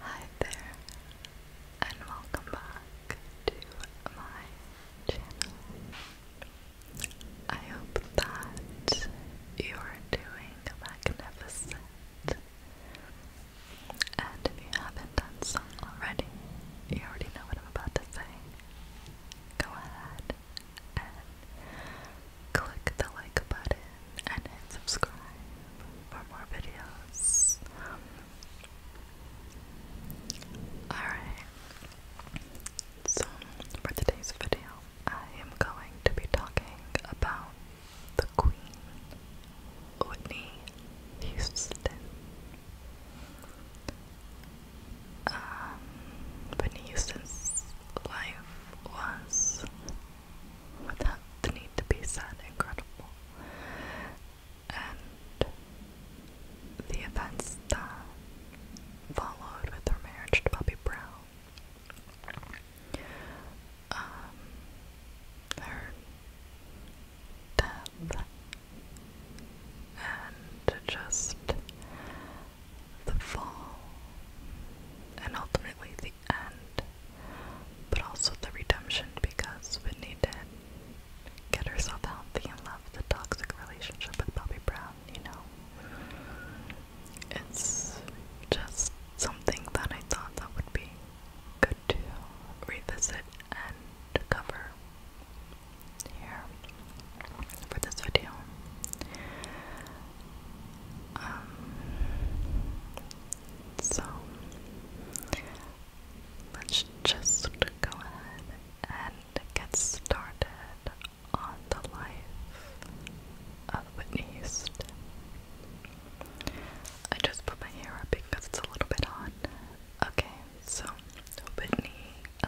Hi there, and welcome back to my channel. I hope that you are doing magnificent. And if you haven't done so already, you already know what I'm about to say. Go ahead and click the like button and hit subscribe for more videos. Alright, so for today's video, I am going to be talking about the Queen, Whitney Houston. Um, Whitney Houston's life was without the need to be sad incredible. And the events that followed with her marriage to Bobby Brown, um, death, and just the fall, and ultimately and, but also the redemption because Whitney did get herself healthy and left the toxic relationship with Bobby Brown, you know? It's just something that I thought that would be good to revisit and cover here for this video. Um, so let's just go ahead and get started on the life of Whitney Houston. I just put my hair up because it's a little bit hot. Okay, so Whitney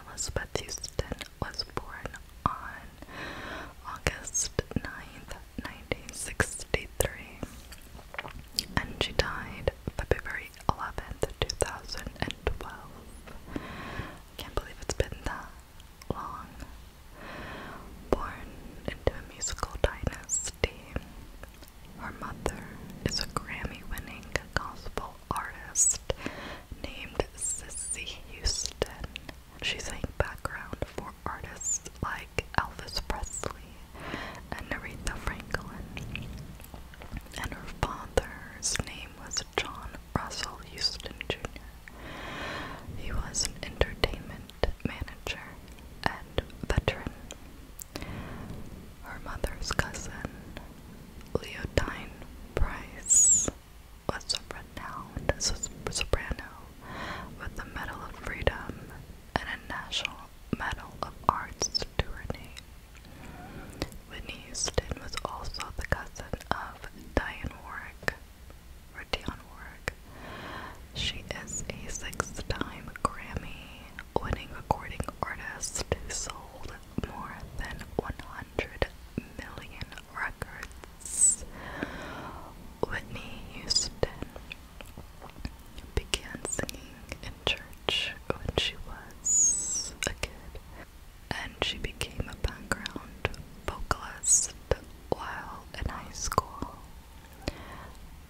Elizabeth Houston was born on August 9th, 1963, and she died February 11th, 2012. I can't believe it's been that long. Born into a musical dynasty, her mother is a Grammy winning gospel artist named Sissy Houston, she sang background for artists like Elvis Presley and Aretha Franklin. And her father's name was John Russell Houston Jr. He was an entertainment manager and veteran. Her mother's cousin, Leodine Price, was a renowned soprano with the Medal of Freedom and a National Medal of Arts to her name. Whitney Houston was also the cousin of Dionne Warwick. She is a six-time Grammy-winning recording artist who sold more than 100 million Records. Whitney Houston began singing in church when she was a kid, and she became a background vocalist while in high school.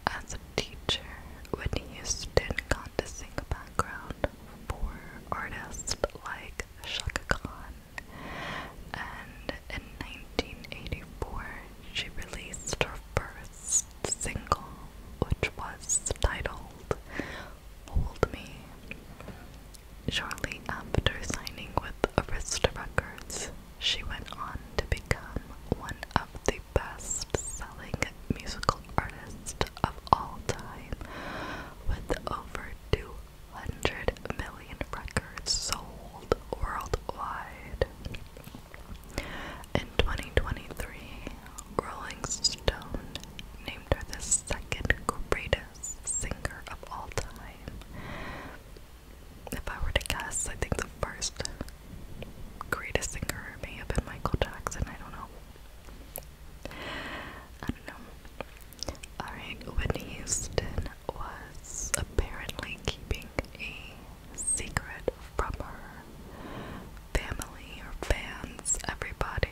As a teacher, Whitney Houston got to sing a background for artists like Shaka Khan and in 1984 she released her first single, which was titled Hold Me. Shortly after signing with Arista Records, she went on to become one of the best selling musical artists of all time with over 200 Hundred million records sold worldwide. In 2023, Rolling Stone named her the second greatest singer of all time. If I were to guess, I think the first greatest singer may have been Michael Jackson, I don't know. I don't know. Alright, Whitney Houston was apparently keeping a secret from her family or fans, everybody,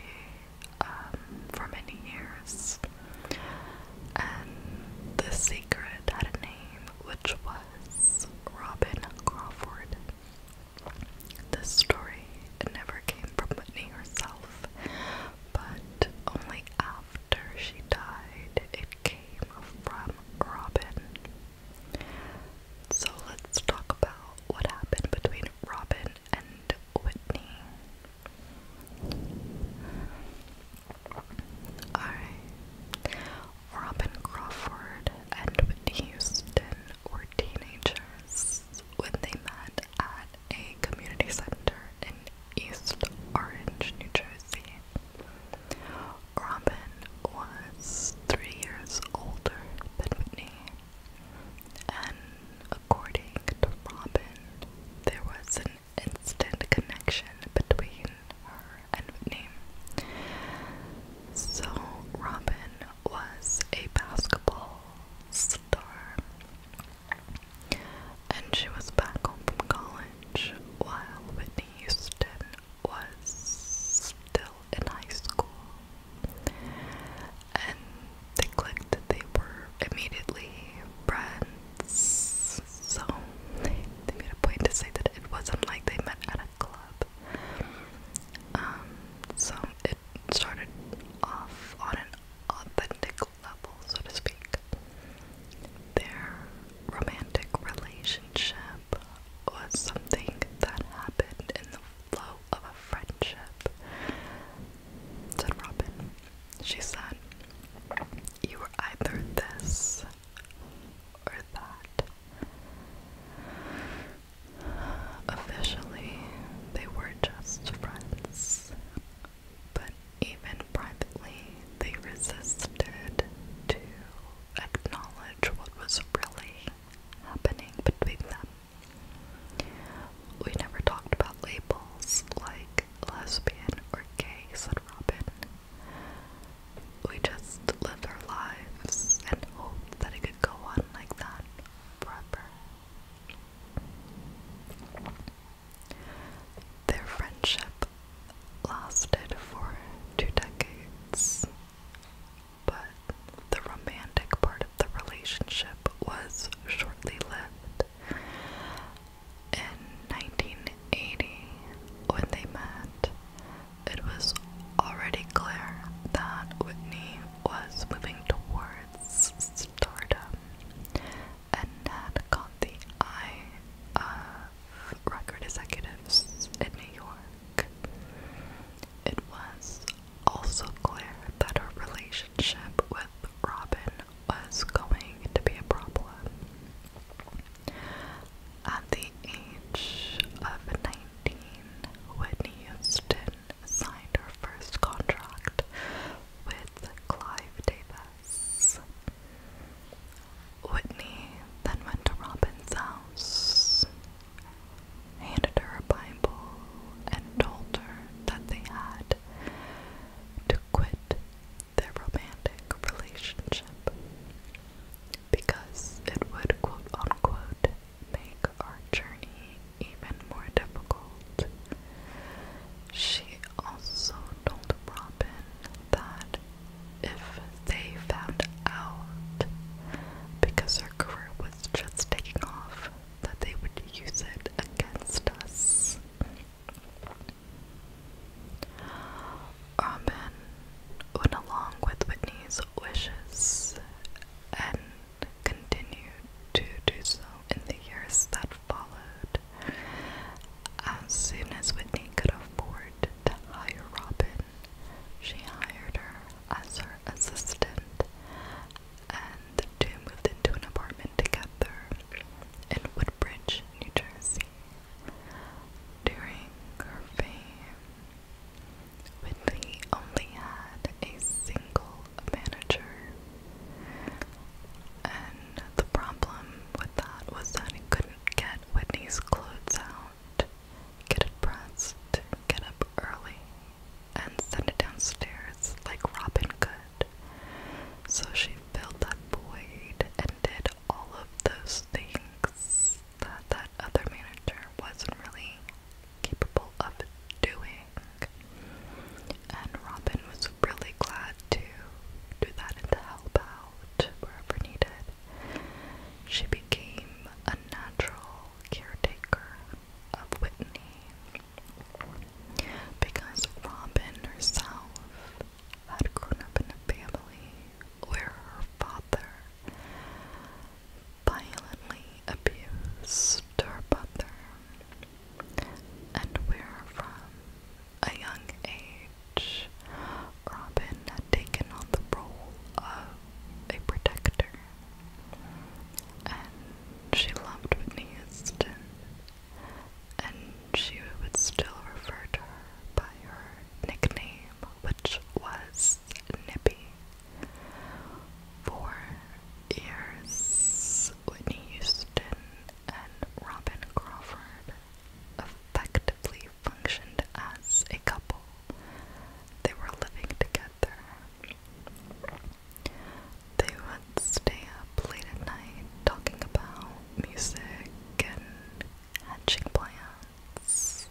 um, for many years. And the secret had a name, which was Robin Crawford. The story never came from Whitney herself, but only after she died it came from Robin. So let's talk about what happened between Robin and Whitney. Robin Crawford and Whitney Houston were teenagers when they met at a community center in East Orange, New Jersey. Robin was three years older than Whitney, and according to Robin, there was an instant connection between her and Whitney. So, Robin was a basketball star and she was back home from college while Whitney Houston was still in high school. And they clicked they were immediately friends. So they, they made a point to say that it wasn't like they met at a club. Um, so it started off on an authentic level, so to speak. Their romantic relationship was something that happened in the flow of a friendship, said Robin. She said, You were either this or that. Officially, they were just friends, but even privately, they resisted to acknowledge what was really happening between them. We never talked about labels like lesbian or gay, said Robin. We just lived our lives and hoped that it could go on like that forever. Their friendship lasted for two decades, but the romantic part of the relationship was shortly lived. In 1980, when they met, it was already clear that Whitney was moving towards stardom and had caught the eye of record executives in New York. It was also clear that her relationship with Robin was going to be a problem. At the age of 19, Whitney Houston signed her first contract with Clive Davis. Whitney then went to Robin's house, handed her a Bible, and told her that they had to quit their romantic relationship because it would quote unquote make our journey even more difficult. She also told Robin that if they found out, because her career was just taking off, that they would use it against us. Robin went along with Whitney's wishes and continued to do so in the years that followed. As soon as Whitney could afford to hire Robin, she hired her as her assistant, and the two moved into an apartment together in Woodbridge, New Jersey. During her fame, Whitney only had a single manager, the problem with that was that he couldn't get Whitney's clothes out, get it pressed, get up early, and send it downstairs like Robin could. So she filled that void and did all of those things that that other manager wasn't really capable of doing. And Robin was really glad to do that and to help out wherever needed. She became a natural caretaker of Whitney because Robin herself had grown up in a family where her father violently abused her mother and where from a young age, Robin had taken on the role of a protector, and she loved Whitney Houston, and she would still refer to her by her nickname, which was Nippy. For years, Whitney Houston and Robin Crawford effectively functioned as a couple. They were living together. They would stay up late at night talking about music and hatching plans.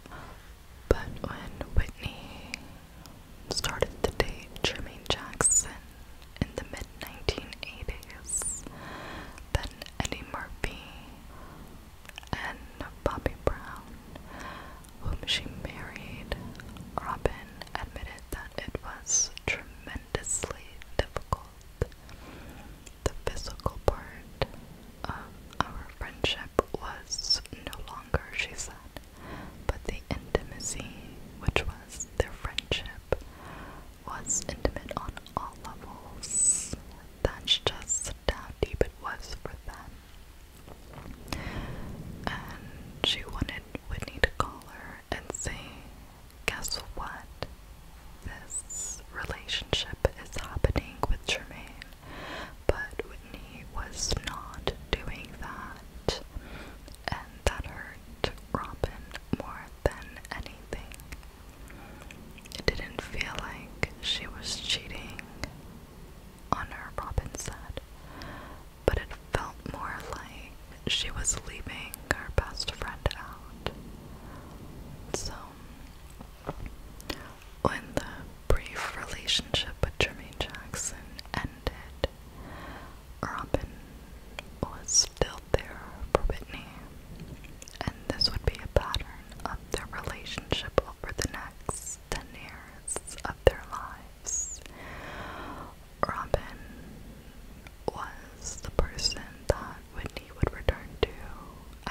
But when Whitney started the date Jermaine Jackson in the mid 1980s than Eddie Murphy and Bobby Brown, whom she married. Robin admitted that it was tremendously difficult. The physical part of our friendship was no longer, she said, but the intimacy, which was their friendship, was intimate on all levels. That's just how deep it was for them. And she wanted Whitney to call her and say, Guess what? This relationship is happening with Jermaine. But Whitney was not doing that. And that hurt Robin more than anything. It didn't feel like she was cheating on her, Robin said, but it felt more like she was leaving her best friend out. So, when the brief relationship with Jeremy Jackson ended, Robin was still there for and this would be a pattern of their relationship over the next 10 years of their lives. Robin was the person that Whitney would return to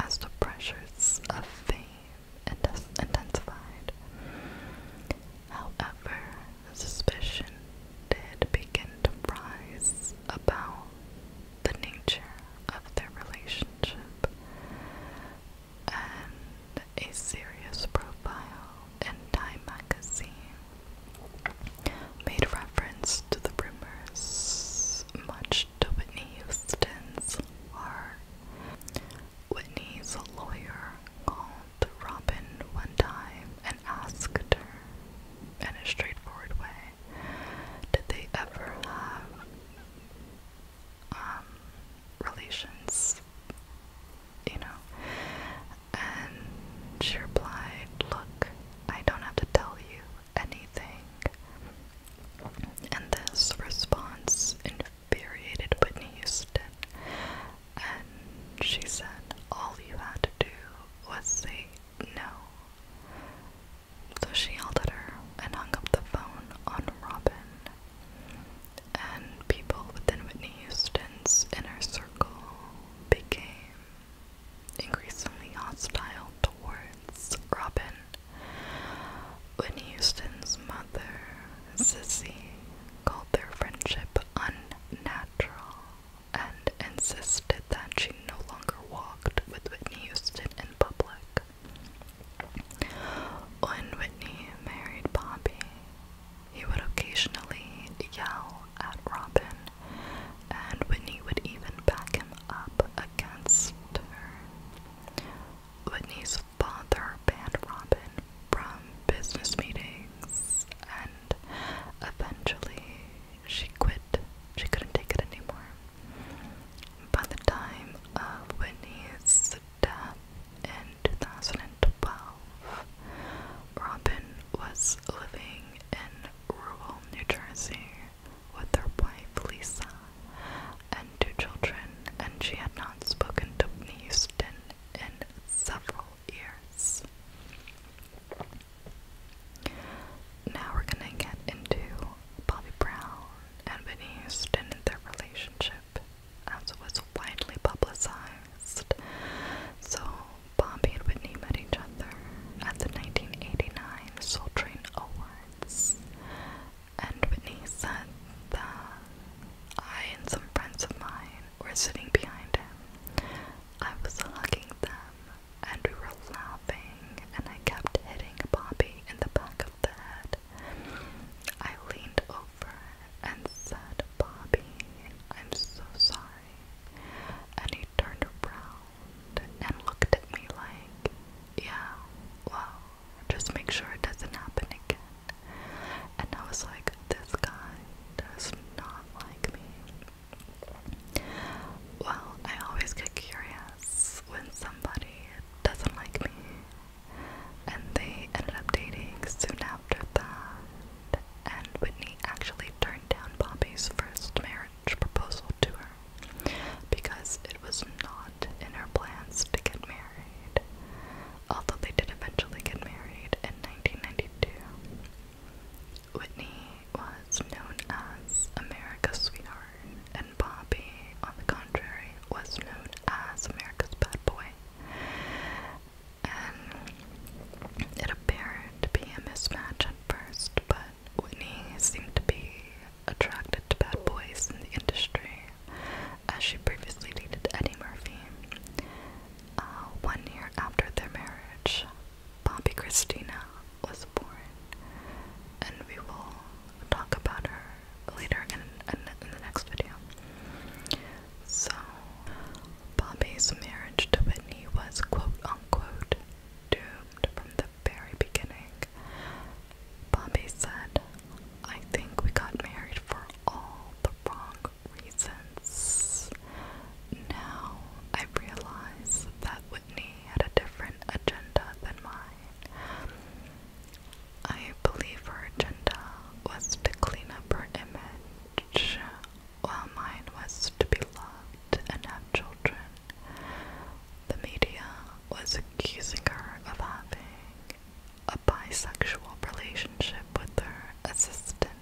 as the pressures of fame intensified. However, suspicion did begin to rise about the nature of their relationship and a serious profile in Time magazine made reference to the rumors much to Whitney Houston's horror. Whitney's lawyer called Robin one time and asked her in a straightforward way did they ever have um, relations? You know? And she replied, Look, I don't have to tell you anything. And this response infuriated Whitney Houston. And she said all you had to do was say no. So she yelled her and hung up the phone on Robin. And people within Whitney Houston's inner circle became increasingly hostile towards Robin. Whitney Houston's mother, Sissy, called their friendship unnatural and insisted that she no longer walked with Whitney Houston in public. When Whitney married Bobby, he would occasionally yell at Robin, and Whitney would even back him up against her. Whitney's father banned Robin from business meetings, and eventually she quit. She couldn't take it anymore. By the time of Whitney's death in 2012, Robin was living in rural New Jersey with her wife Lisa and two children, and she had not spoken to Whitney Houston in several years. Now we're gonna get into Bobby Brown and Whitney and their relationship, as was widely publicized. So Bobby and Whitney met each other at the 1989 Soul Train Awards, and Whitney said that I and some friends of mine were sitting behind him. I was hugging them and we were laughing, and I kept hitting Bobby in the back of the head. I leaned over and said, Bobby, I'm so sorry. And he turned around and looked at me like, yeah, well, just make sure it doesn't happen again. And I was like, this guy does not like me. Well, I always get curious when somebody doesn't like me, and they ended up dating soon after that. And Whitney actually turned down Bobby's first marriage proposal to her because it was not in her plans to get married. Although they did eventually get married in 1992. Whitney was known as America's sweetheart, and Bobby, on the contrary, was known as America's bad boy. And it appeared to be a mismatch at first, but Whitney seemed to be attracted to bad boys in the industry, as she previously dated Eddie Murphy. Uh, one year after their marriage, Poppy Christina was born, and we will talk about her later in, in, the next video. So, Poppy's marriage to Whitney was quote unquote doomed from the very beginning. Poppy said, I think we got married for all the wrong reasons. Now I realize that Whitney had a different agenda than mine. I believe her agenda was to clean up her image, while mine was to be loved and have children. The media was accusing her of having a bisexual relationship with her assistant,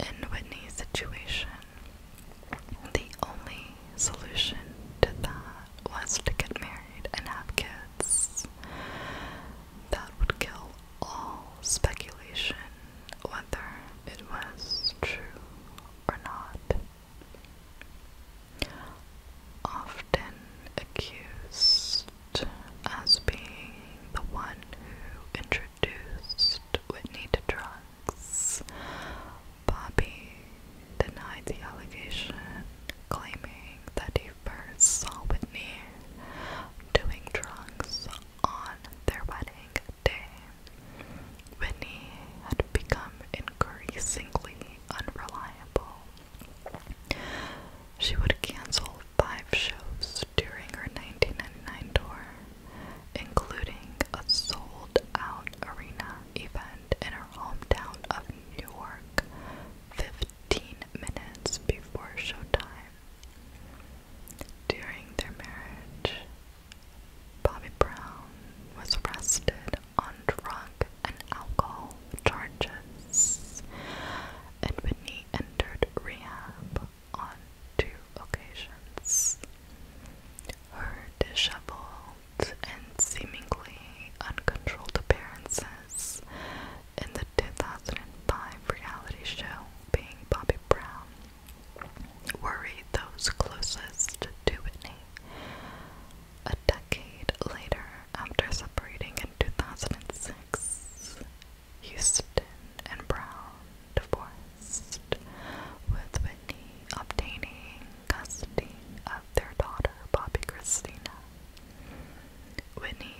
in Whitney's situation, the only solution to that was to get married and have kids. That would kill all speculation whether it was true or not. Often accused as being the one who introduced Whitney to drugs. Bobby denied the allegation, claiming that he first saw Whitney doing drugs on their wedding day. Whitney had become increasingly unreliable. She would cancel five shows during her 1999 tour, including a sold out arena event in her hometown of Newark 15 minutes before showtime. During their marriage, Bobby Brown was arrested on drug and alcohol charges, and Whitney entered rehab on two occasions. Her disheveled and seemingly uncontrolled appearances in the 2005 reality show Being Bobby Brown worried those closest to Whitney. A decade later, after separating in 2006, Houston and Brown divorced, with Whitney obtaining custody of their daughter, Bobby Christina. Whitney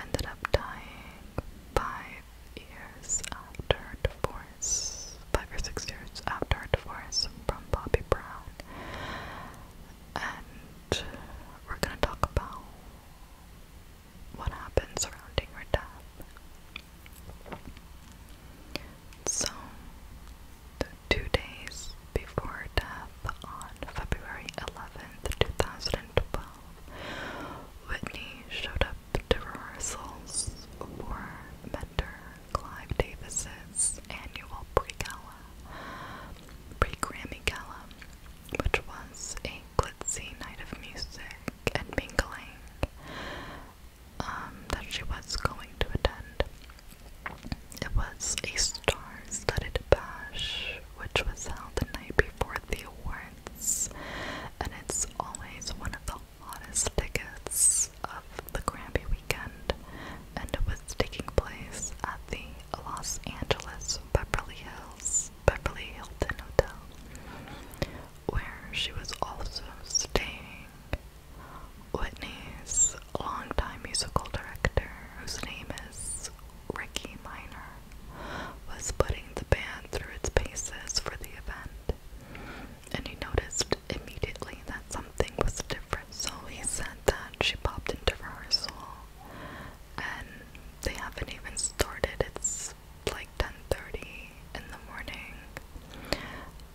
ended up dying five years after divorce, five or six years after divorce from Bobby Brown. And we're going to talk about what happened surrounding her death. So, the two days before death on February 11th, 2012, Whitney showed up to rehearsals for mentor Clive Davis's annual pre-gala, pre-Grammy gala, which was a glitzy night of music and mingling. Um, that she was going to attend. It was a star-studded bash, which was held the night before the awards, and it's always one of the hottest tickets of the Grammy weekend, and it was taking place at the Los Angeles Beverly Hills Beverly Hilton Hotel where she was also staying. Whitney's longtime musical director, whose name is Ricky Minor, was putting the band through its paces for the event, and he noticed immediately that something was different. So he said that she popped into rehearsal, and they haven't even started. It's like 10:30 in the morning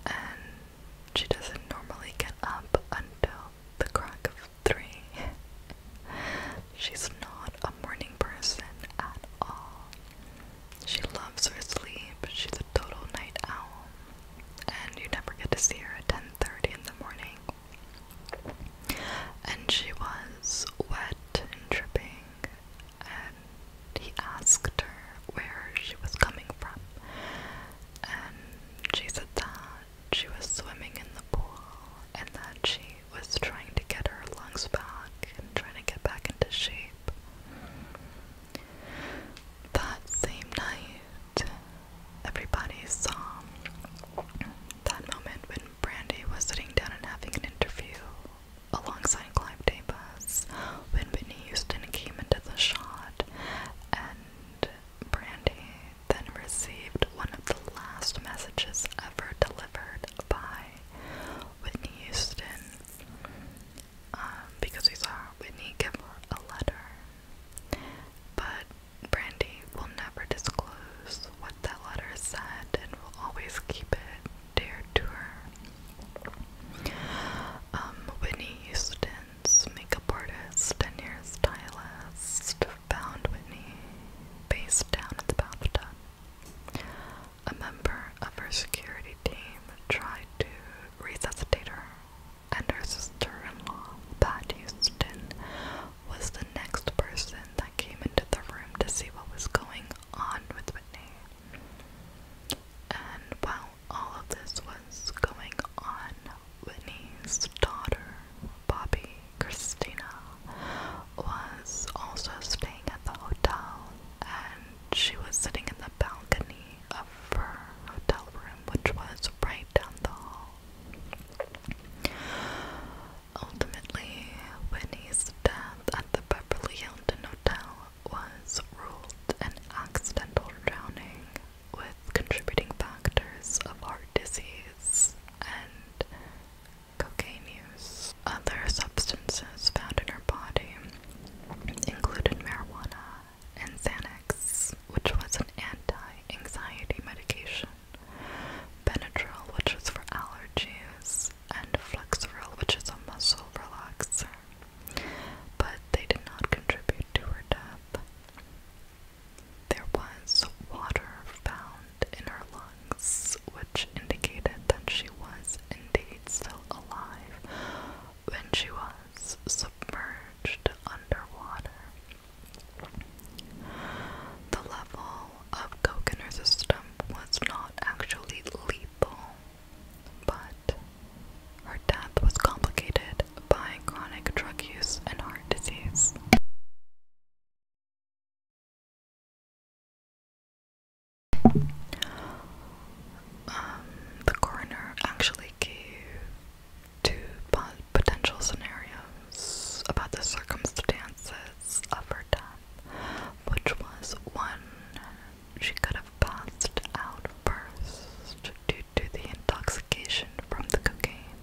and she doesn't normally get up until the crack of 3. She's not a morning person at all. She loves her sleep. She's a total night owl. And you never get to see her at 10:30 in the morning. And she was wet and dripping and he asked her where she was coming from, and she said that she was swimming in the pool and that she was trying to get her lungs back and trying to get back into shape. That same night, everybody saw that moment when Brandy was sitting down and having an interview alongside Clive Davis when Whitney Houston came into the shot and Brandy then received one of the last messages ever delivered by Whitney Houston um, because we saw Whitney give her a letter but Brandy will never disclose what that letter said and will always keep it Dare to her, Whitney Houston's makeup artist and hairstylist found Whitney face down at the bathtub. A member of her security team tried to resuscitate her, and her sister-in-law, Pat Houston, was the next person that came into the room to see what was going on with Whitney. And while all of this was going on, Whitney's daughter, Bobby Christina, was also staying at the hotel and she was sitting in the balcony of her hotel room, which was right down the hall. Ultimately, Whitney's death at the Beverly Hilton Hotel was ruled an accidental drowning with contributing factors of heart disease and cocaine use. Other substances found in her body included marijuana and Xanax, which was an anti anxiety medication, Benadryl, which was for allergies, and flexoril, which is a muscle relaxer, but they did not contribute to her death. There was water found in her lungs, which indicated that she was indeed still alive when she was submerged underwater. The level of coke in her system was not actually lethal, but her death was complicated by chronic drug use and heart disease. Um, the coroner actually gave two potential scenarios about the circumstances of her death, which was one she could have passed out first due to the intoxication from the cocaine,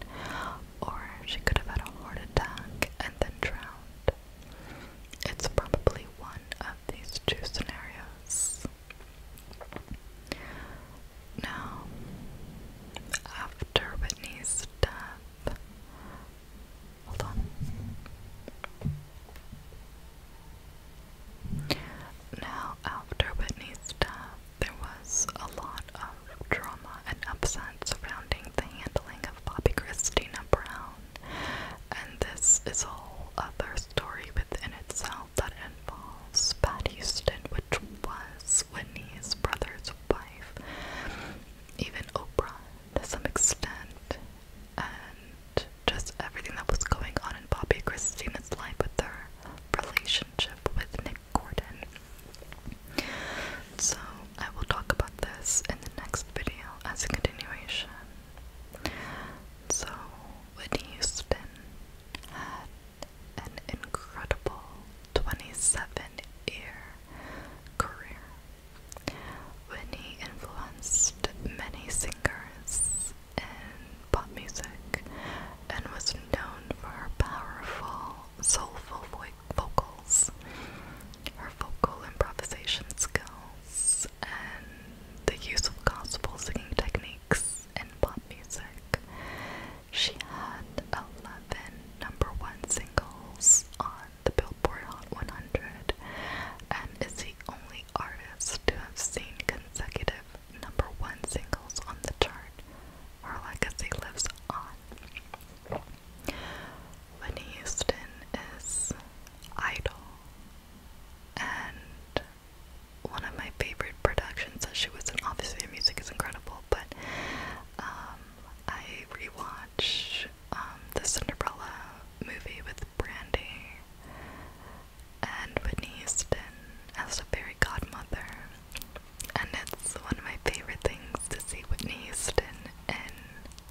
or she could have had a heart attack and then drowned. It's probably one of these two scenarios. Now, after Whitney's death, Hold on. Now, after Whitney's death, there was a lot of drama and upset surrounding the handling of Bobby Christina Brown, and this is a whole other story within itself that involves Pat Houston, which was Whitney's brother's wife. Even Oprah, to some extent, and just everything that was going on in Bobby Christina's life with her relationship with Nick Gordon. So I will talk about this in the next video as a continuation. So Whitney Houston had an incredible 27 year career. Whitney influenced many singers in pop music and was known for her powerful, soulful vocals, her vocal improvisation skills, and the use of gospel singing techniques in pop music. She had 11 number one singles on the Billboard Hot 100 and is the only artist to have seen consecutive number one singles on the chart. Her legacy lives on. Whitney Houston is idol and one of my favorite productions that she was in. Obviously, her music is incredible, but um, I rewatch um, the Cinderella movie with Brandy, and Whitney Houston as the fairy godmother. And it's one of my favorite things to see Whitney Houston in,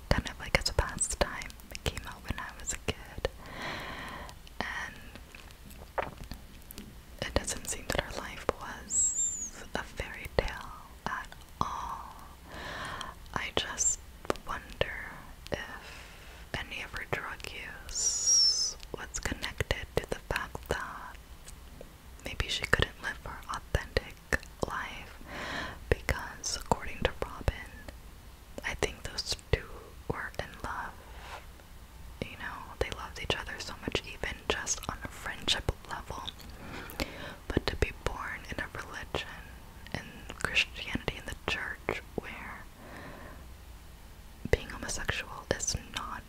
kind of like as a pastime. came out when I was a kid. And it doesn't seem that her life was a fairy tale at all. I just wonder if any of her drug use was connected to the fact that maybe she couldn't live her authentic life because, according to Robin, I think those two were in love. You know, they loved each other so much, even just on a friendship level. But to be born in a religion in Christianity in the church where being homosexual is not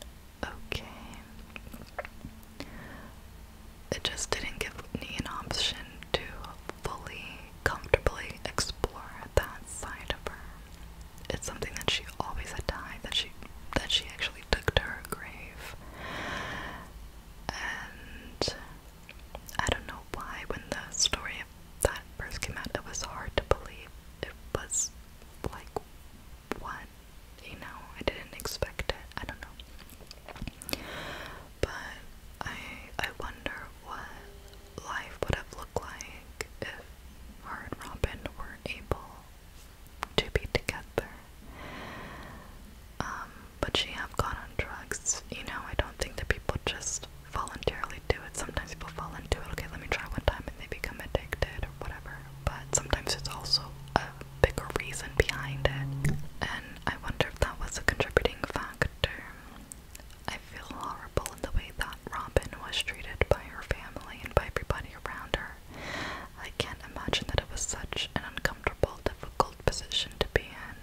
okay. It just didn't give me an option to fully, comfortably explore that side of her. It's something that she always had died that she that she actually took to her grave. And I don't know why when the story that first came out, it was hard to believe. It was like, what? You know, I didn't expect it. I don't know. But I I wonder what life would have looked like if her and Robin were able to be together. Um, but she have gone on drugs. You know, I don't think that people just voluntarily do it. Sometimes people fall into it. Okay, let me try one time, and they become addicted or whatever. But sometimes it's also a bigger reason behind it, and I wonder if that was a contributing factor. I feel horrible in the way that Robin was treated by her family and by everybody around her. I can't imagine that it was such an uncomfortable, difficult position to be in.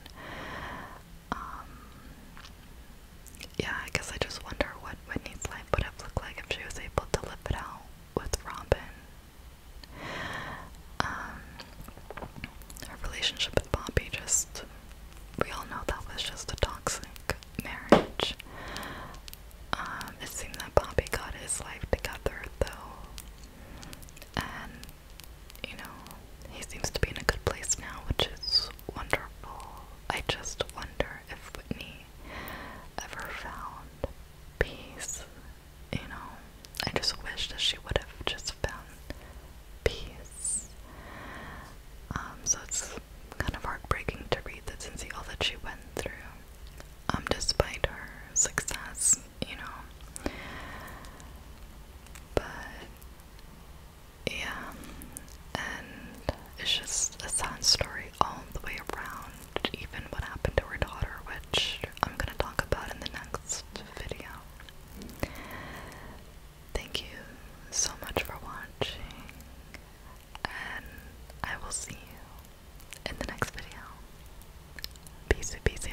Um, yeah, I guess I just wonder what Whitney's life would have looked like if she was able to live it out with Robin. Um, her relationship with Bobby just, we all know that was just a toxic marriage. Um, it seemed that Bobby got his life together though, and you know, he seems to be in a good place now, which is wonderful. I just wonder if Whitney ever found peace. You know, I just wish that she would have just found peace. Um, so it's kind of heartbreaking to read this and all that she went through. Um, despite her success, you know. But yeah, and it's just a sad story all the way around, even what happened to her daughter, which I'm gonna talk about in the next video. Thank you so much for watching, and I will see you in the next video. Peace, peace.